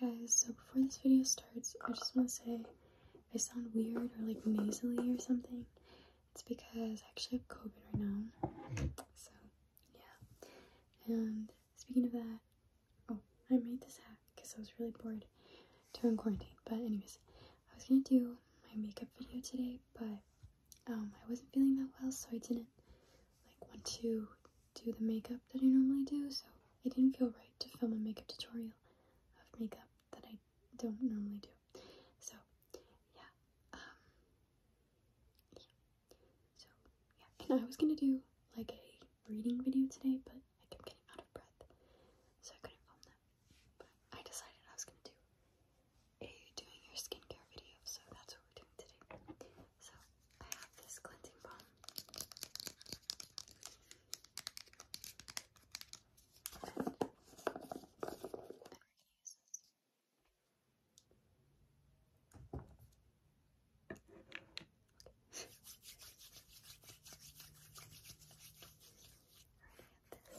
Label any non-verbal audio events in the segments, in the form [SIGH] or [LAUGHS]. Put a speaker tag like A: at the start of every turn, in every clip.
A: Hi guys, so before this video starts, I just want to say I sound weird or like nasally or something, it's because I actually have COVID right now. So, yeah. And speaking of that, oh, I made this hat because I was really bored during quarantine. But, anyways, I was gonna do my makeup video today, but um, I wasn't feeling that well, so I didn't like want to do the makeup that I normally do, so I didn't feel right to film a makeup tutorial of makeup that I don't normally do. So yeah, um, yeah. So yeah, and I was gonna do like a reading video today, but I kept getting out of breath, so I couldn't film that. But I decided I was gonna do a doing your skincare video, so that's what we're doing today. So I have this glinting balm. I'm this. Okay.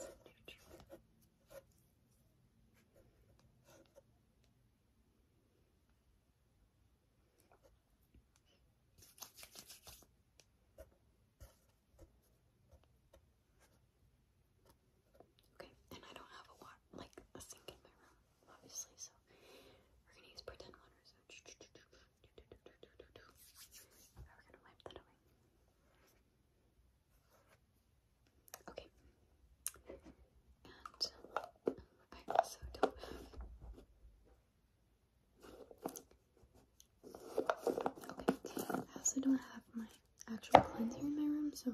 A: Alright, Okay, and I don't have a like a sink in my room, obviously, so we're gonna use pretend water. So [TSK] [TSK] [TSK] we're gonna wipe that away. Okay. And I also don't have. Okay. I also don't have my actual cleanser in my room, so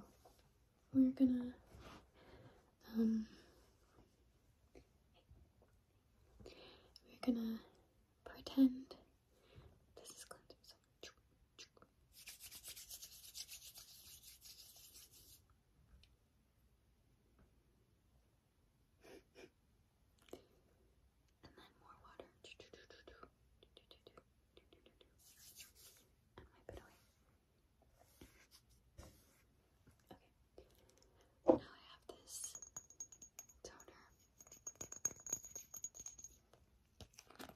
A: we're gonna um we're gonna pretend this is cleanser. And then more water. Okay. Now I have this toner just gonna pat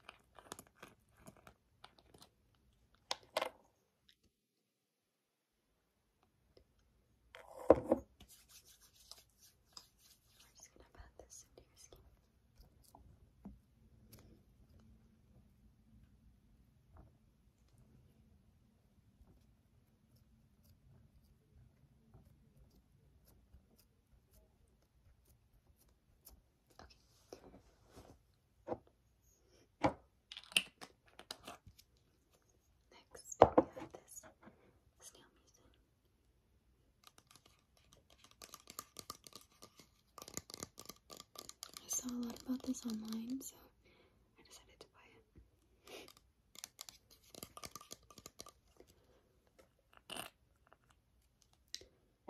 A: this into your skin. Good. Next, we have this snail musin. I saw a lot about this online, so I decided to buy it.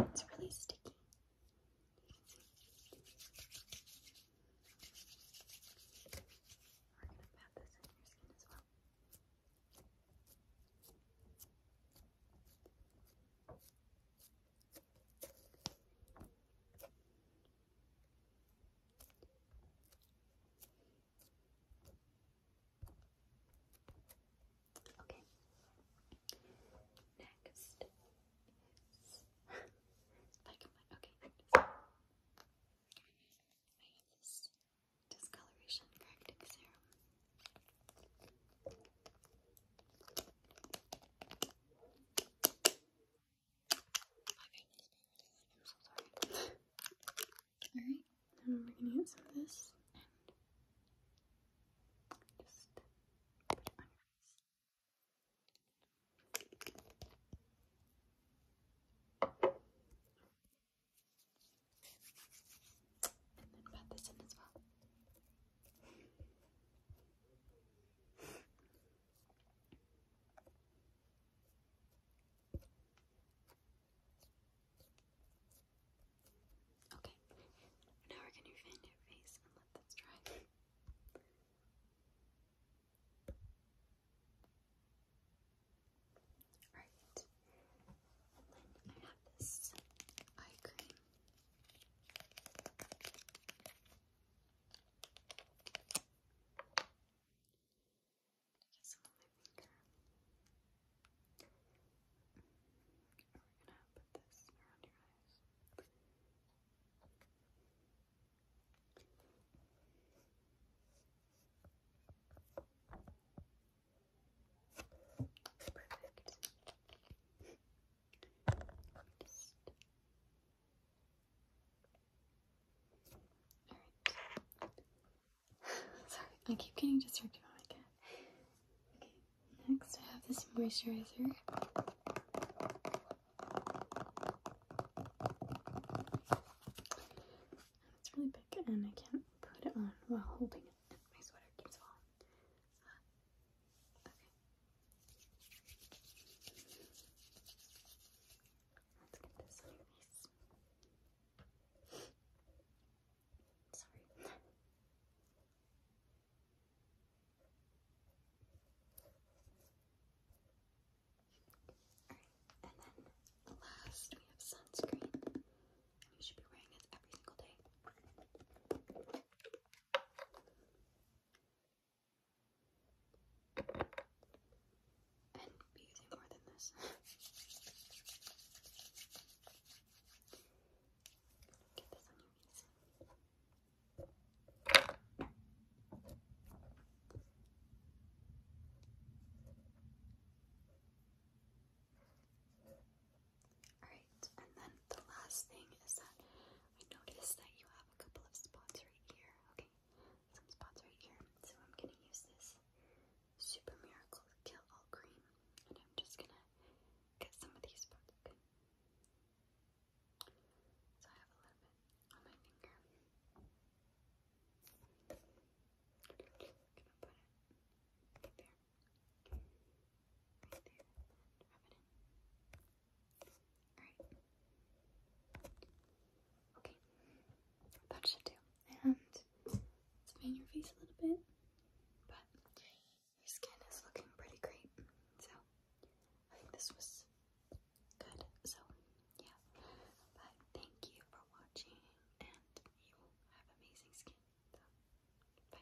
A: It's really sticky. We're going to pat this in your skin as well. Okay. Next is okay. I discoloration correcting serum. My I'm so sorry. Alright, now we're gonna get some of this and just put it on your eyes. then pat this in as well. Okay, now we're going to fan your face and let this dry. Alright, then I have this eye cream get some we gonna put this around your eyes. Perfect. Sorry, I keep getting distracted by my cat. Okay, next I have this moisturizer. It's really big and I can't put it on while holding it. My sweater keeps falling. Uh, okay, Let's get this on your face. Sorry. Alright, and then last we have sunscreen. And you should be wearing it every single day. And be using more than this. [LAUGHS] Get this on your knees. Alright, and then the last thing is that I noticed that you have a couple of spots right here. Okay, some spots right here. So I'm gonna use this Super Miracle Kill All Cream, and I'm just gonna get some of these So I have a little bit on my finger. i gonna put it there. Right it in. Alright. Okay. That should do. And spin your face a little bit. But your skin is looking pretty great. So I think this was good. So yeah. But thank you for watching and you have amazing skin. So, bye.